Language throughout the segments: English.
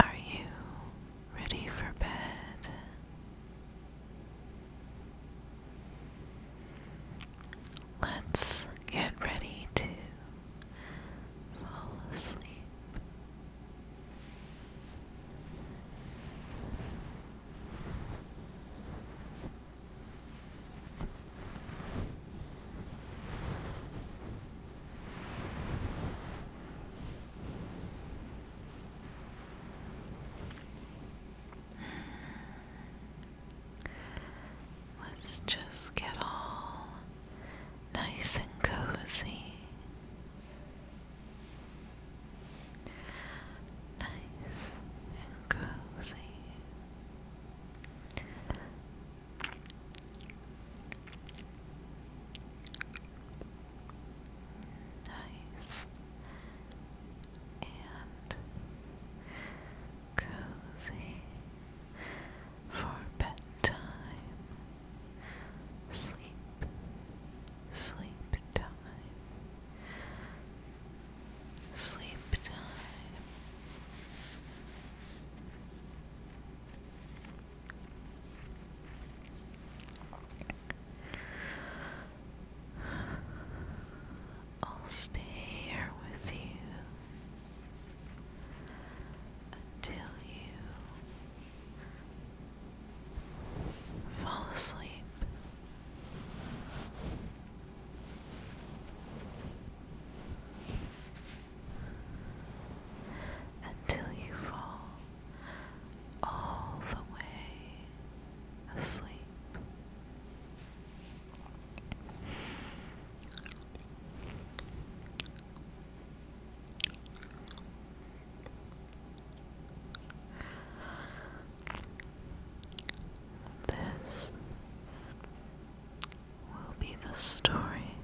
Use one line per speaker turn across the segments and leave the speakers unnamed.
Are you ready for bed? Let's get ready to fall asleep. Let's just get all nice and cozy. Nice and cozy nice and cozy for bedtime. Sleep, sleep time, sleep time. I'll stay here with you until you fall asleep. Until you fall all the way asleep. This will be the story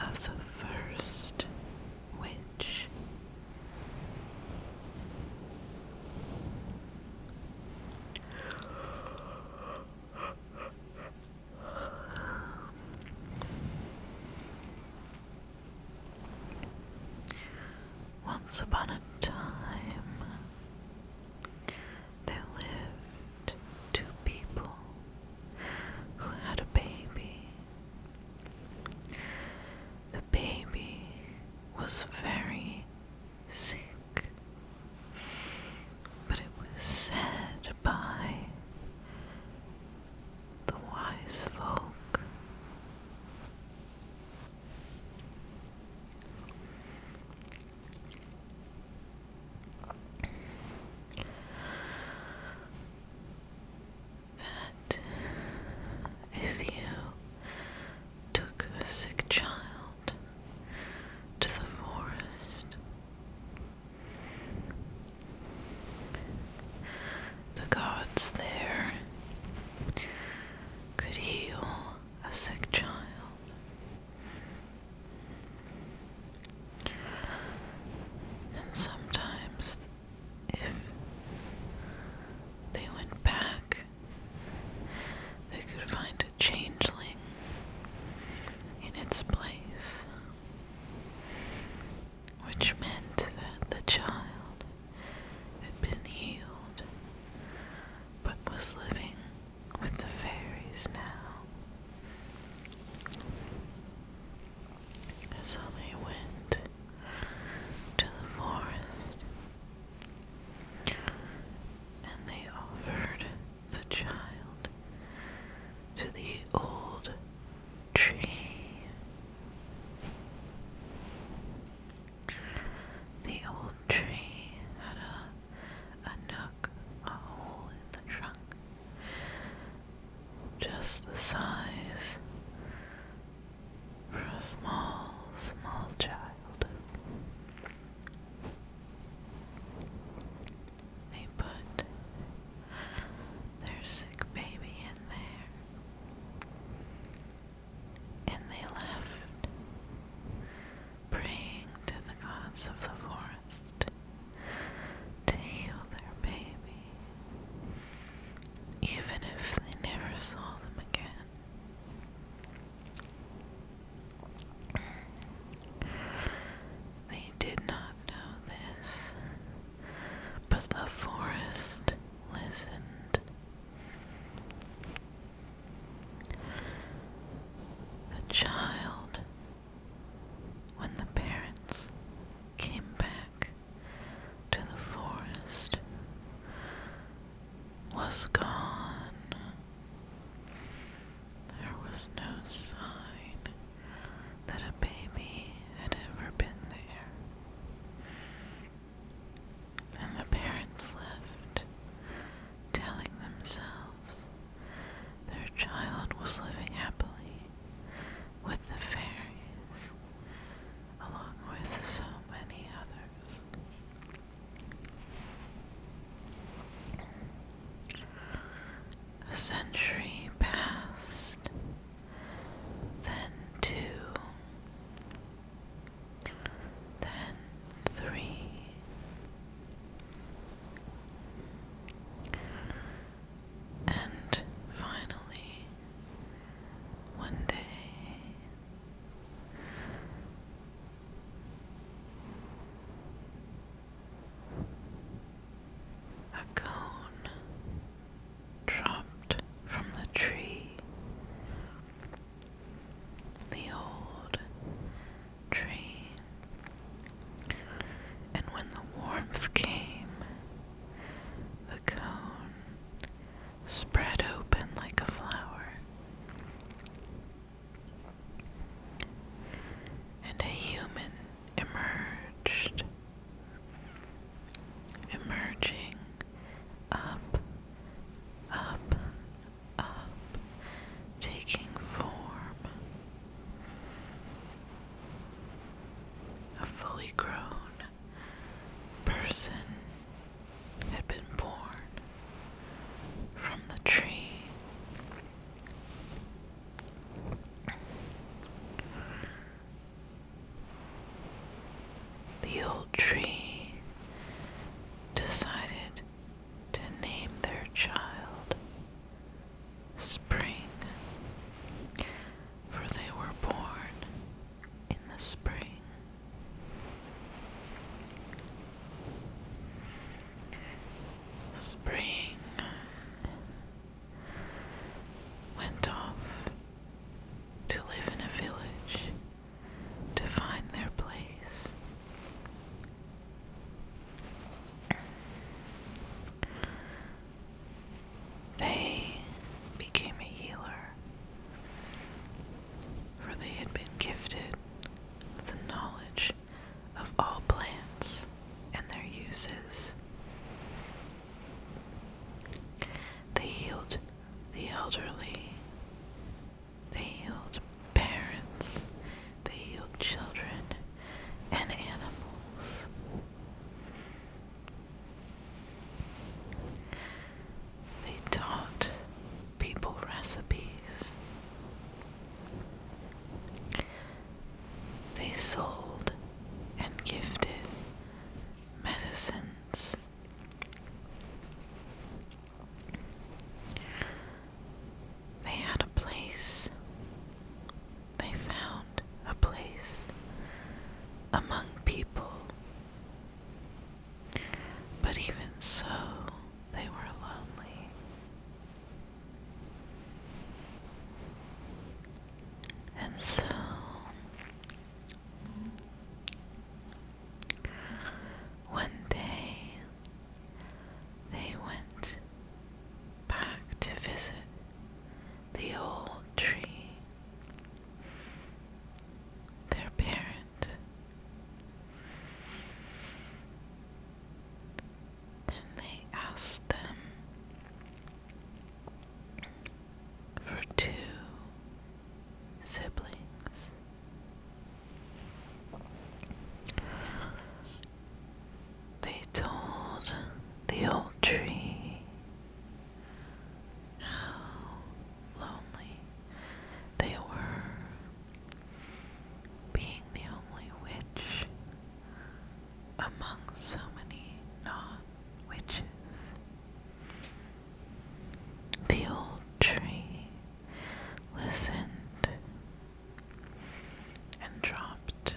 of the first witch. Once upon a time, there lived two people who had a baby the baby was very sick, but it was said by the wise folk that if you took the sick child to the forest, the gods there could heal a sick child. And sometimes, if they went back, they could find a changeling in its place, which meant that the child had been healed but was living with the fairies now. So they went to the forest and they offered the child to the old tree. The old tree had a, a nook, a hole in the trunk just the size for a small, small child. They put their sick baby in there and they left, praying to the gods of the forest to heal their baby, even if they never saw them again. They did not know this, but the forest listened. The child when the parents came back to the forest, was gone. There was no sign that a baby had ever been there. And the parents left, telling themselves their child was living happily with the fairies, along with so many others. A century passed, then two, then three. And finally, one day, a cone dropped from the tree. The old tree and when the warmth came, the cone spread open like a flower, and a human emerged, emerging up, up, up, taking form. A fully grown person had been born from the tree. The old tree decided to name their child spring, for they were born in the spring. Spring went off to live in a village to find their place. They became a healer, for they had been gifted with the knowledge of all plants and their uses. They healed the elderly, they healed parents, they healed children and animals. They taught people recipes. They sold and gifted medicines. They had a place. They found a place among people. But even so, they were lonely. And so, one day, they went back to visit the old tree, their parent, and they asked them for two siblings. They told the old tree how lonely they were, being the only witch among so many non witches. The old tree listened and dropped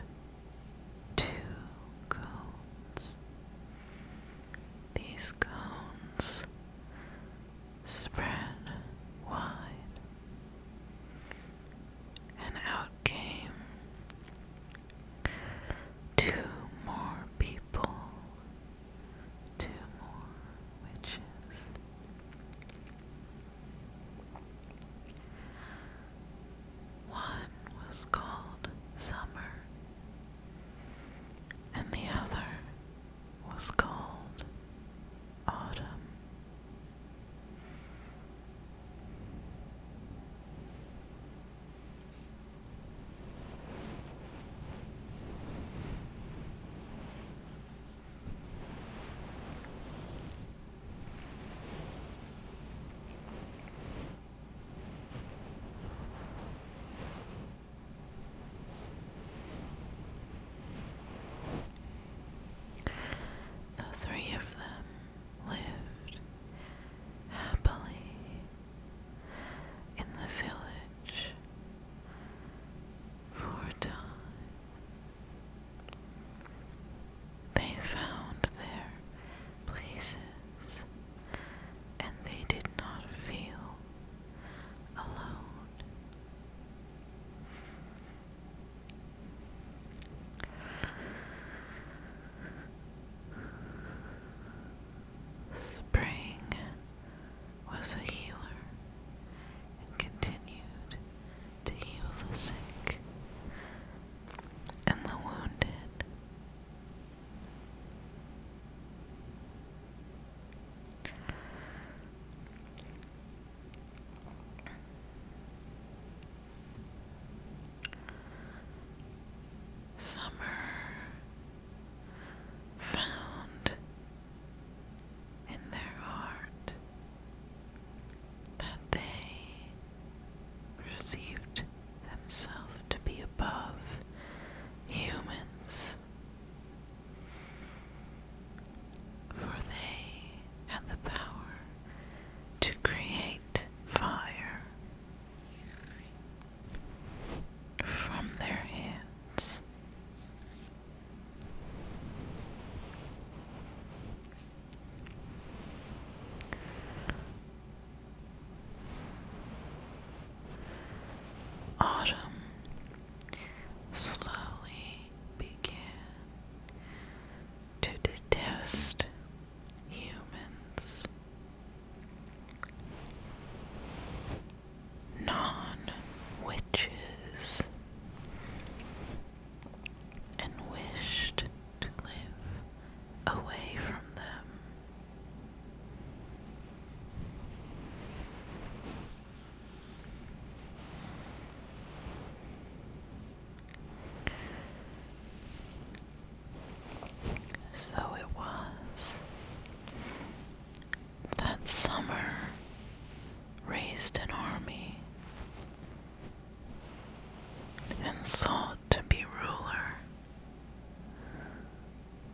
two cones. These cones spread wide, and out came two more people, two more witches. One was called Summer, and the other was called Autumn. The three of them lived happily in the village for a time. They found their places and they did not feel alone. Spring was a healer and continued to heal the sick and the wounded. Summer found in their heart that they perceived themselves to be above humans, for they had the power to create fire from their hands. Autumn slowly began to detest humans. Non witches and wished to live away from them. So it was that summer raised an army and sought to be ruler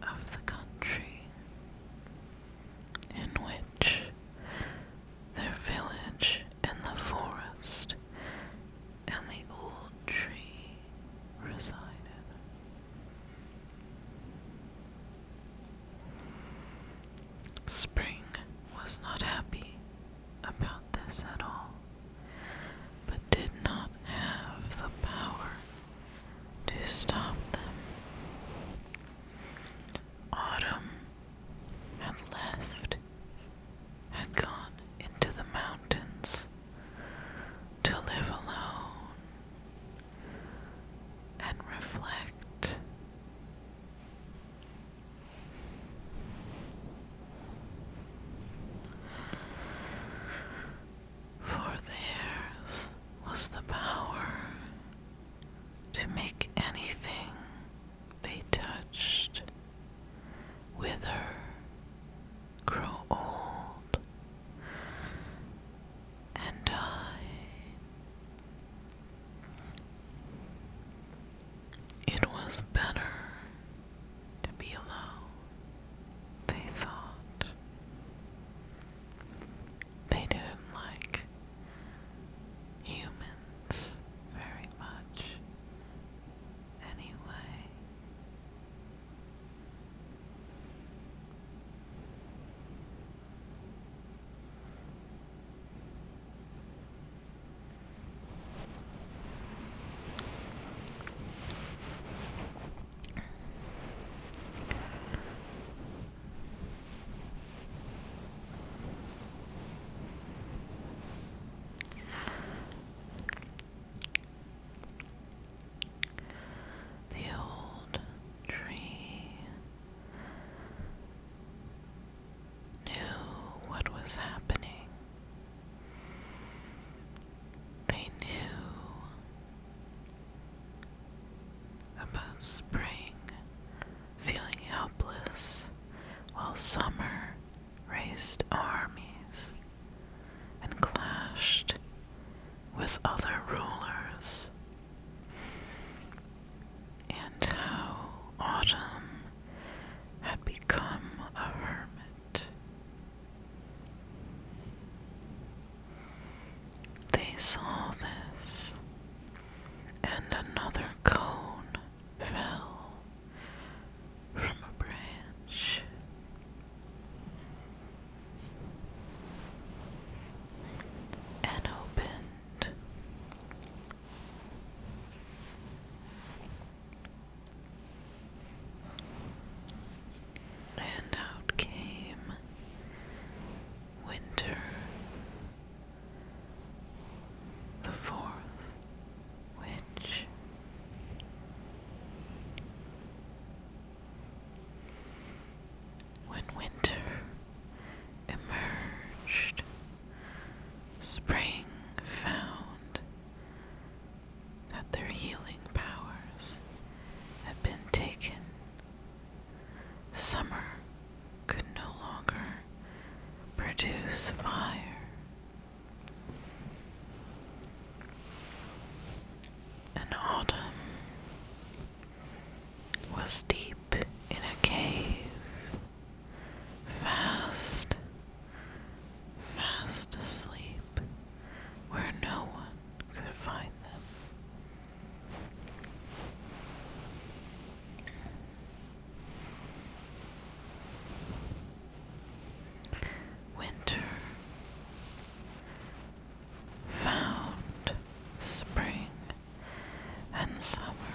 of the country in which their village and the forest and the old tree resided. Spring was not happy about this at all, but did not have the power to stop them. Autumn had left, had gone into the mountains to live alone and reflect. For theirs was the power to make anything they touched wither, grow old, and die. It was better to be alone, they thought. They didn't like humans very much anyway. The old tree knew what was happening. They knew about spring feeling helpless while summer raised armies and clashed with other rulers and how Autumn had become a hermit. They saw this, and another cone fell from a branch. And opened. And out came winter, the fourth witch. When winter emerged. Spring found that their healing powers had been taken. Summer could no longer produce fire. And autumn was deep in a cave fast, fast asleep, where no one could find them. Winter found spring and summer,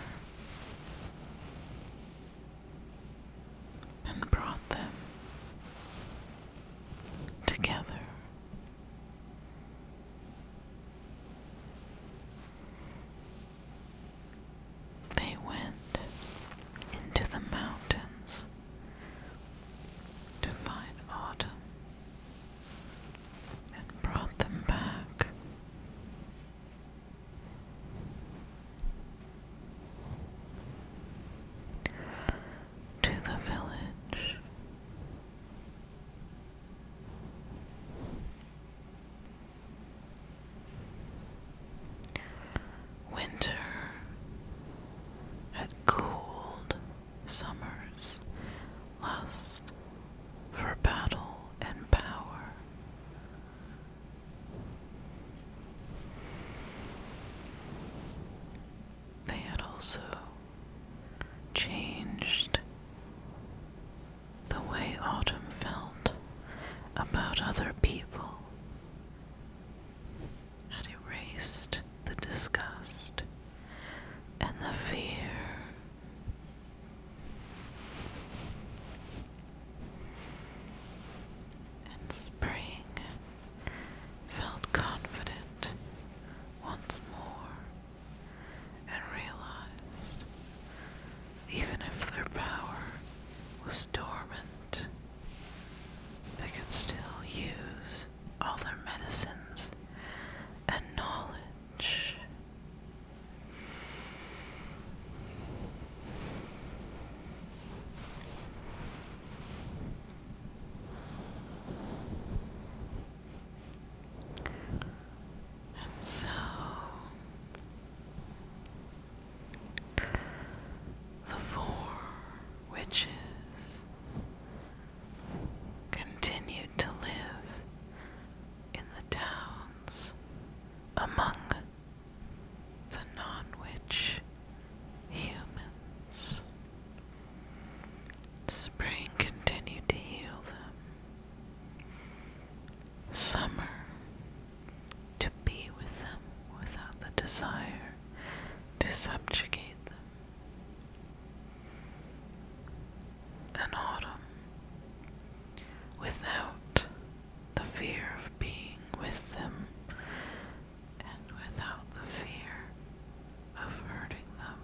and brought them together. They went into the mountains to find autumn and brought them back to the village. Winter had cooled summer's lust for battle and power, they had also changed the way Autumn felt about other people, had erased the disgust and the fear and spring felt confident once more and realized even if their power was dormant, they could still use all their medicines and knowledge. And so the four witches continued to live in the town among the non witch humans. Spring continued to heal them. Summer to be with them without the desire to subjugate them. An autumn without the fear of being with them and without the fear of hurting them.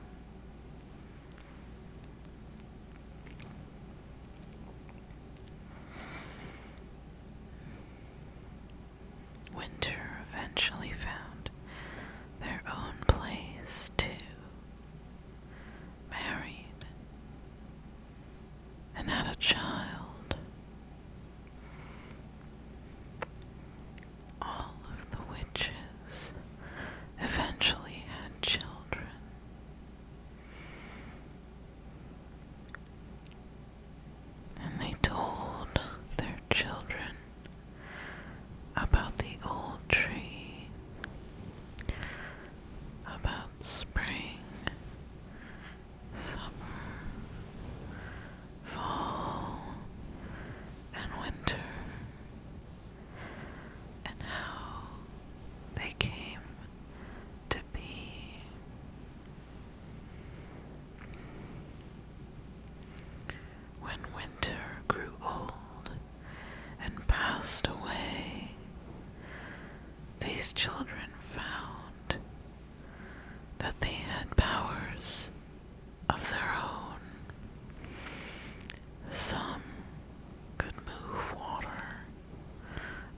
Winter eventually found their own place, too married, and had a child. All of the witches eventually had children. And they told their children about the old tree about spring, summer, fall, and winter, and how they came to be. When winter grew old and passed away. These children found that they had powers of their own. Some could move water,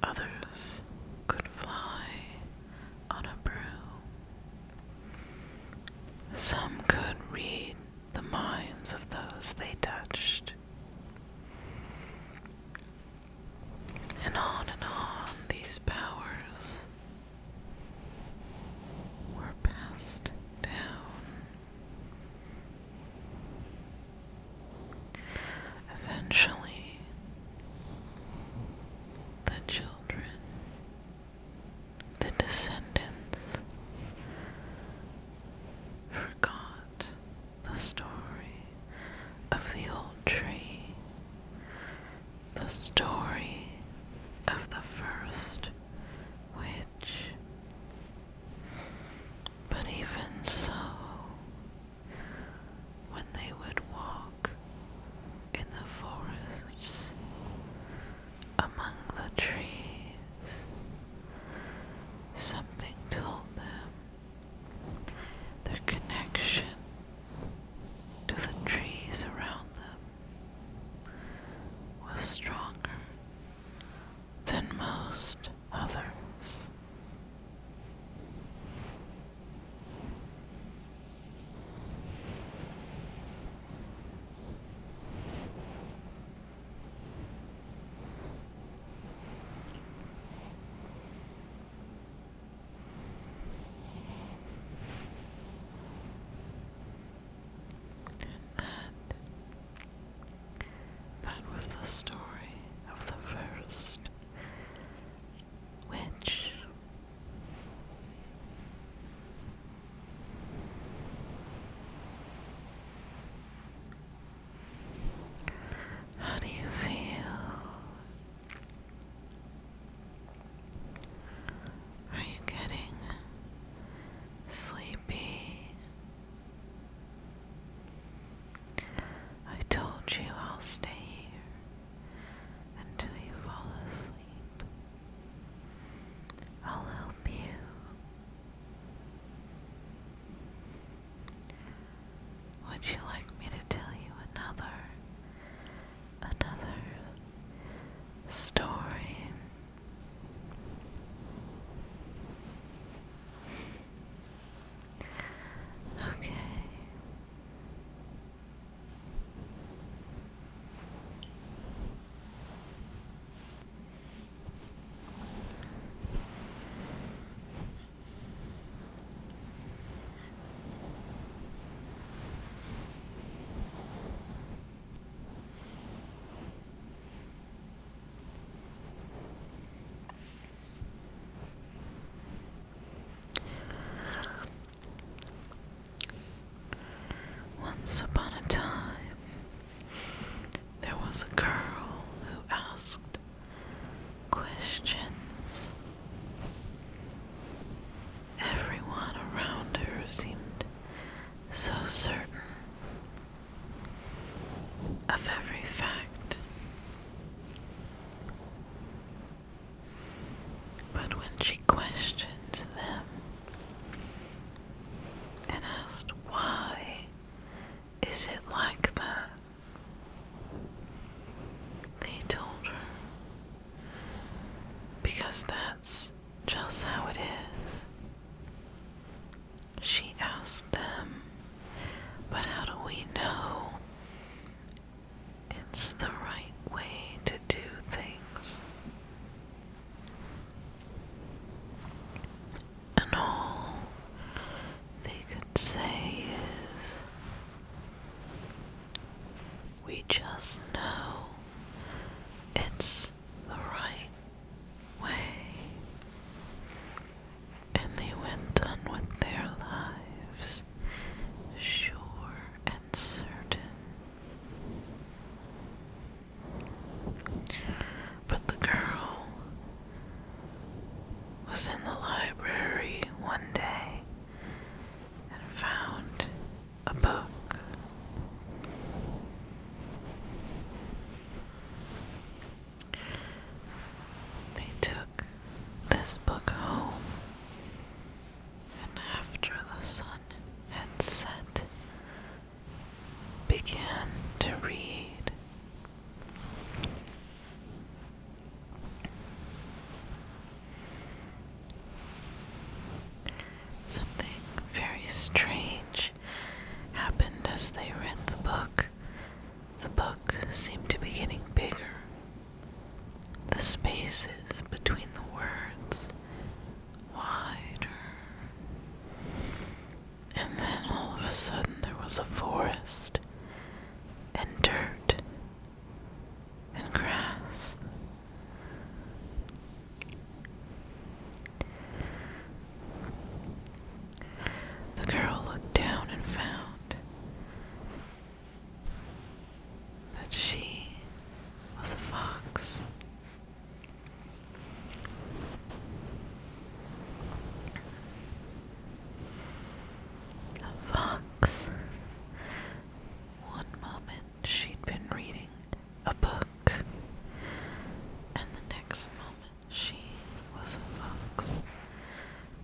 others could fly on a broom. Some could read the minds of those they touched, and on and on, these powers were passed down. Eventually, the children, the descendants, forgot the story of the old tree, the story of the first witch. But even so, when they would walk in the forests among the trees, Something told them their connection to the trees around them was stronger than most others. And that, was the story of the first witch. How do you feel? Are you getting sleepy? I told you I'll stay here until you fall asleep. I'll help you. Would you like me to tell you another, another story? Okay. Once upon a time, there was a girl who asked questions. Everyone around her seemed so certain of every fact. But when she questioned them and asked why is it like that? They told her. Because that's just how it is. She asked them, but how do we know it's the right way to do things? And all they could say is, we just know it's the right way. And they went on with their lives, sure and certain but the girl was in the library one day and found a book. They took this book home, and after the sun had set, began to read. Something very strange happened as they read the book. The book seemed to be getting bigger. The spaces between the words wider. And then all of a sudden there was a forest and dirt and grass. The girl looked down and found that she was a fox. A fox. One moment she'd been reading a book, and the next moment she was a fox.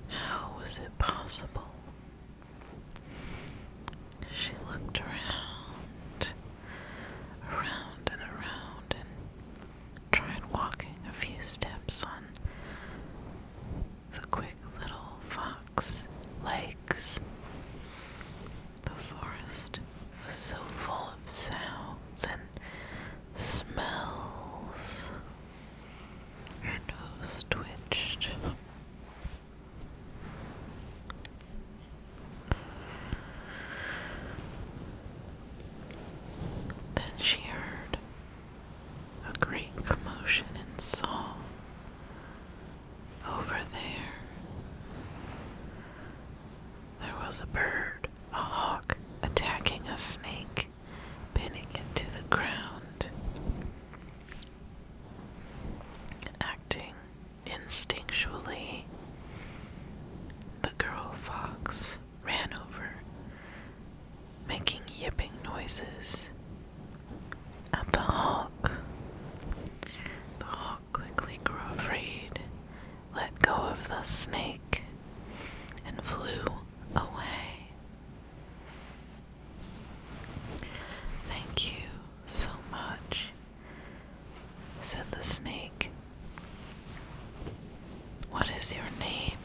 How was it possible? She looked around, around and around, and tried walking a few steps on the quick little fox legs. The forest was so full of sounds and smells. Her nose twitched. Then she heard a great commotion and saw over there there was a bird, a hawk, attacking a snake, pinning it to the ground. Acting instinctually, the girl fox ran over, making yipping noises at the hawk. The hawk quickly grew afraid, let go of the snake, and flew away. Thank you so much said the snake. What is your name?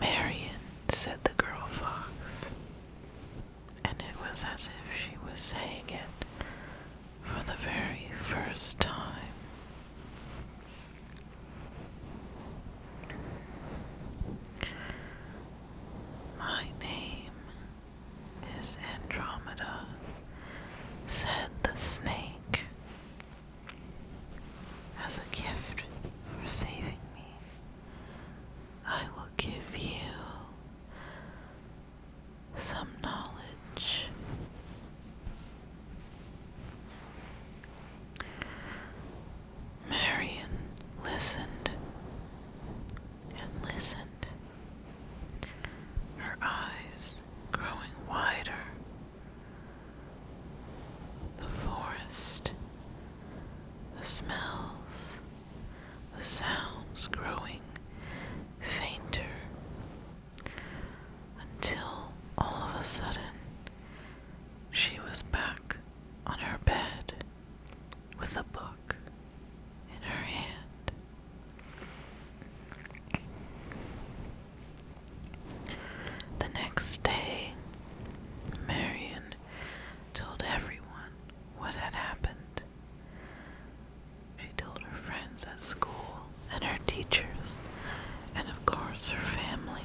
Marion, said the girl fox. And it was as if she was saying it for the very first time. My name is Andromeda, said the snake as a gift for saving me. I will give you some knowledge. Marion listened and listened her eyes growing wider. The forest, the smells, the sounds growing fainter until all of a sudden she was back on her bed with a book in her hand. The next day, Marion told everyone what had happened. She told her friends at school and her teachers, and of course her family.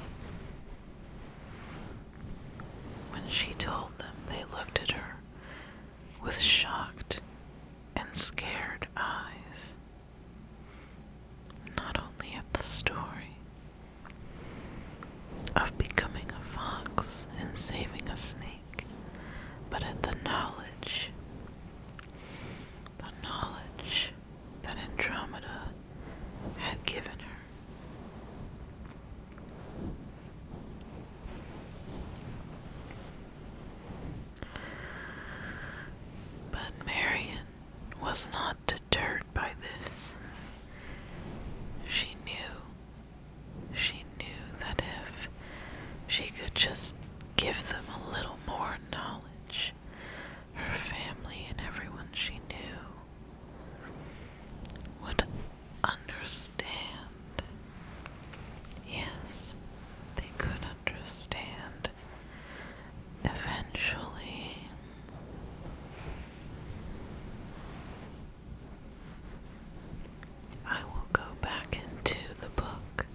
When she told them, they looked at her with shocked and scared eyes not only at the story of becoming a fox and saving a snake, but at the knowledge, the knowledge that Andromeda had given her. But Marion was not deterred by this. She knew, she knew that if she could just give them a little more knowledge, her family and everyone she knew would understand Yes, they could understand eventually. I will go back into the book,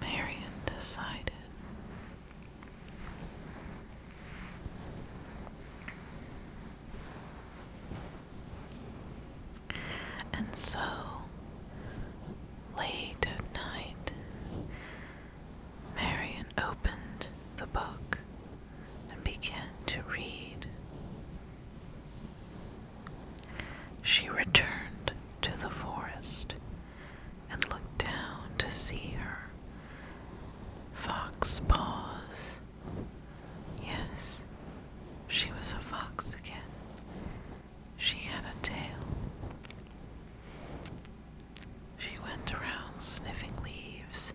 Marion decided. And so, late at night, Marian opened the book and began to read. She returned to the forest and looked down to see her fox paws. Yes, she was a fox again, she had a tail. She went around sniffing leaves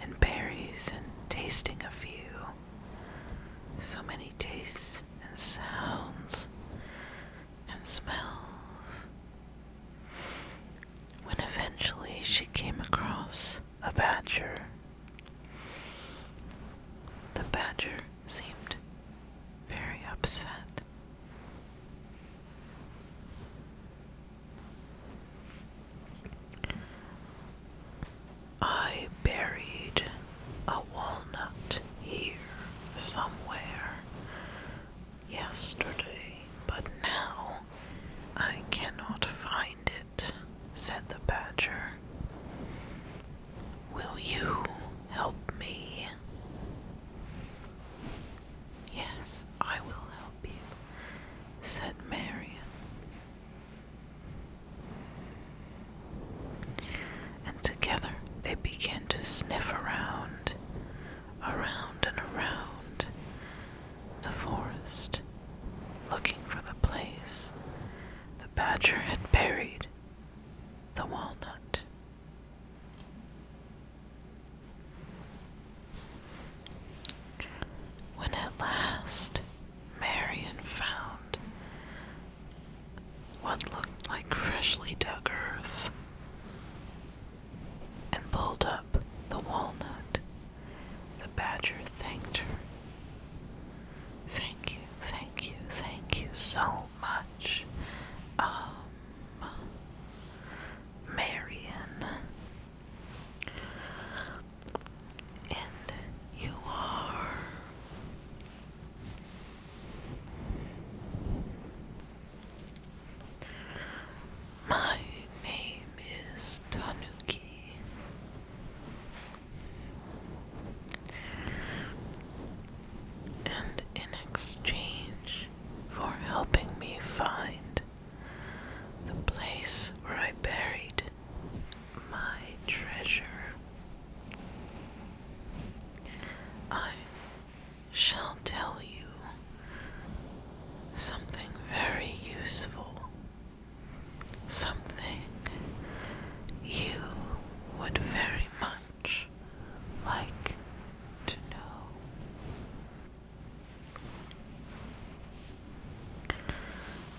and berries and tasting a few. So many tastes and sounds and smells. When eventually she came across a badger. The badger seemed very upset. I buried a walnut here somewhere yesterday, but now I cannot find it, said the badger. Will you help me? Yes, I will help you, said Marian. And together they began to sniff around, around and around the forest, looking for the place the badger had buried the walnut. When at last Marion found what looked like freshly dug earth and pulled up the walnut, the badger thanked her. Thank you, thank you, thank you so much. Um, Marion. And you are my name is Tanuki. And in exchange for helping me find the place where I buried my treasure, I shall tell you something very useful, something you would very much like to know.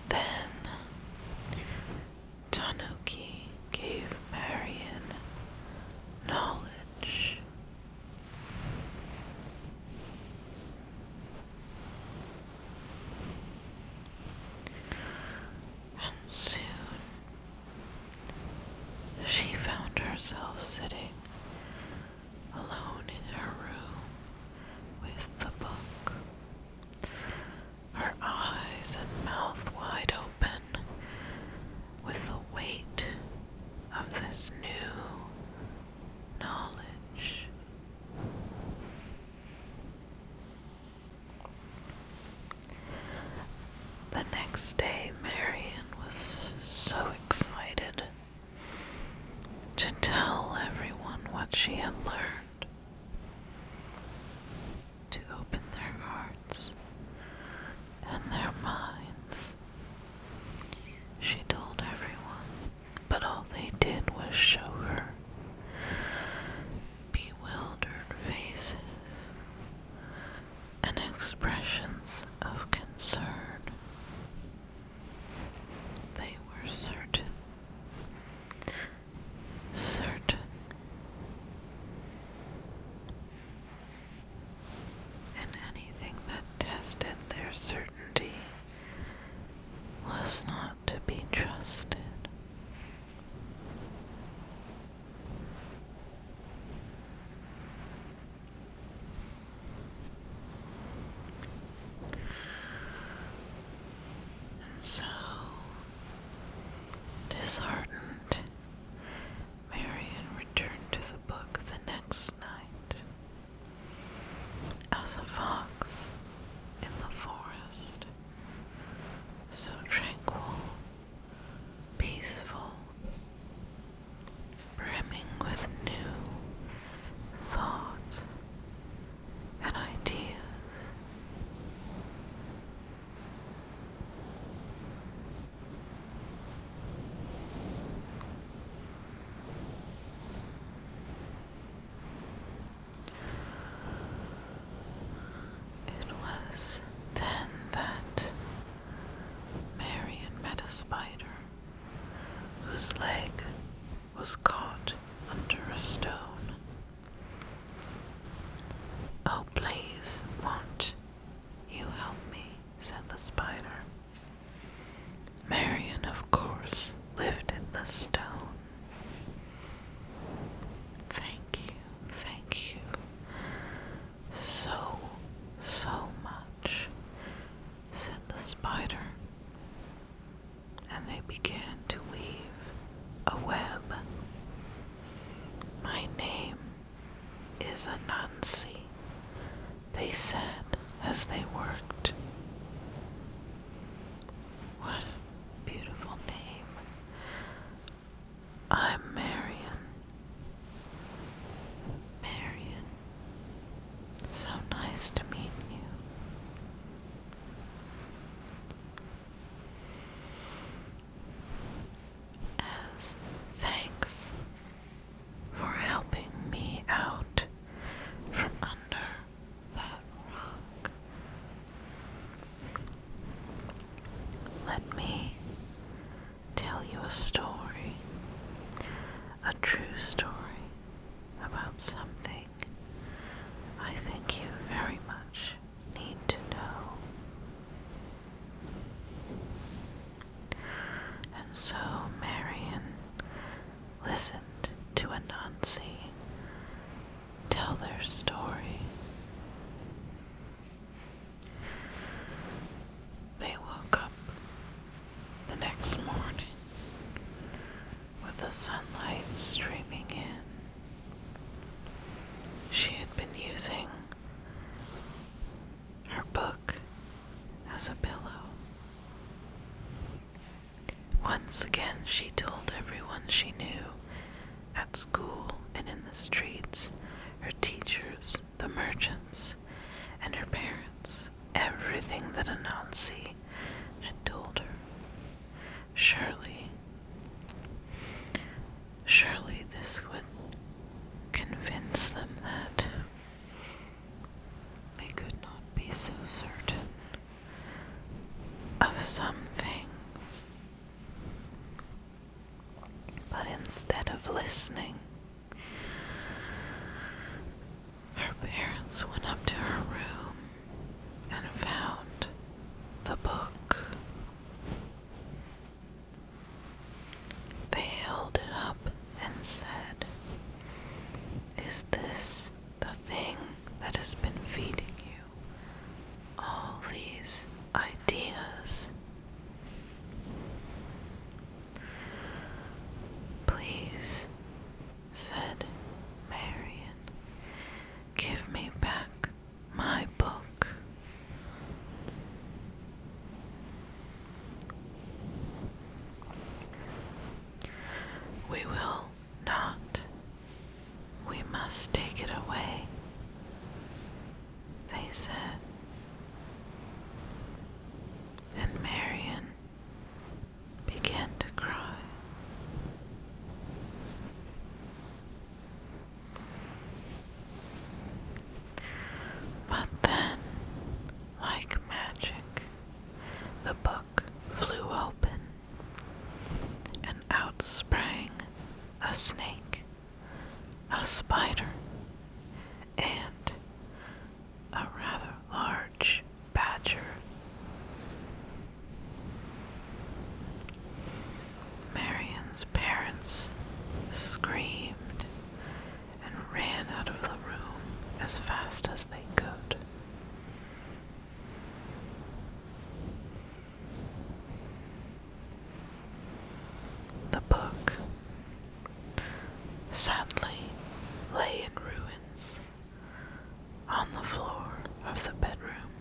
Then Tanuki gave Marion knowledge and soon she found herself sitting alone in her room with the book. Her eyes and mouth wide open with the weight of this new knowledge. The next day, Marian was so excited to tell everyone what she had learned, to open their hearts and their minds. She told everyone, but all they did was show her bewildered faces and expressions of concern. They were certain, certain. And anything that tested their certainty was not to be trusted. So disheartened, Marion returned to the book the next night. As a fox in the forest, so tranquil, peaceful, brimming with new thoughts and ideas. It was then that Marion met a spider whose leg was caught under a stone. Oh, please, won't you help me? said the spider. Marion, of course, lifted the stone Thank you, thank you so, so much, said the spider. And they began to weave a web. My name is Anansi, they said as they worked. What a beautiful name. I'm Marion. Marion. So nice to meet you. As thanks for helping me out from under that rock, let me tell you a story, a true story about something I think you very much need to know. And so Marian listened to Anansi tell their story. They woke up the next morning with the sunlight streaming in. She had been using her book as a pillow. Once again, she told everyone she knew at school and in the streets, her teachers, the merchants, and her parents, everything that Anansi had told her. Surely, surely this would convince them that they could not be so certain of some things. But instead of listening, her parents went up to her room and found the book. They held it up and said, Is this the thing that has been feeding you? all these ideas. Please, said Marion. give me back my book. We will not, we must take it away, they said. And Marian began to cry. But then, like magic, the book flew open and out sprang a snake, a spider, and a rather large badger. Marion's parents screamed and ran out of the room as fast as they could. The book sadly lay in ruins on the floor of the bedroom.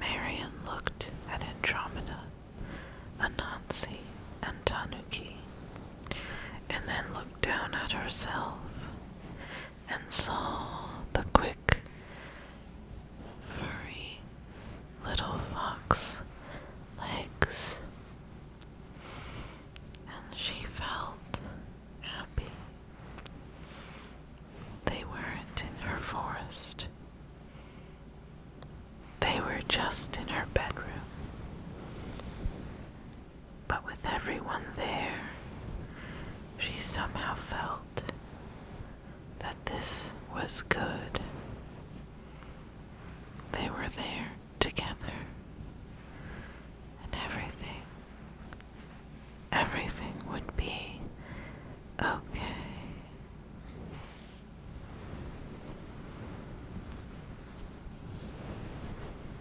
Marian looked at Andromeda, Anansi, and Tanuki, and then looked down at herself and saw the quick, furry little fox legs, and she felt happy. They weren't in her forest. They were just in her bedroom. But with everyone there, she somehow felt that this was good. They were there together, and everything, everything would be okay.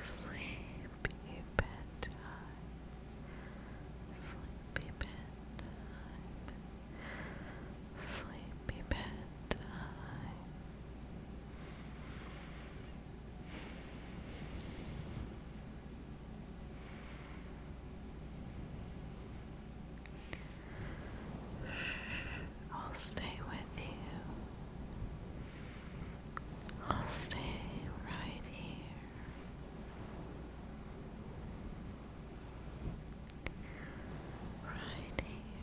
Sleepy bedtime. Sleepy bedtime. Sleepy bedtime. I'll stay with you. I'll stay right here. Right here.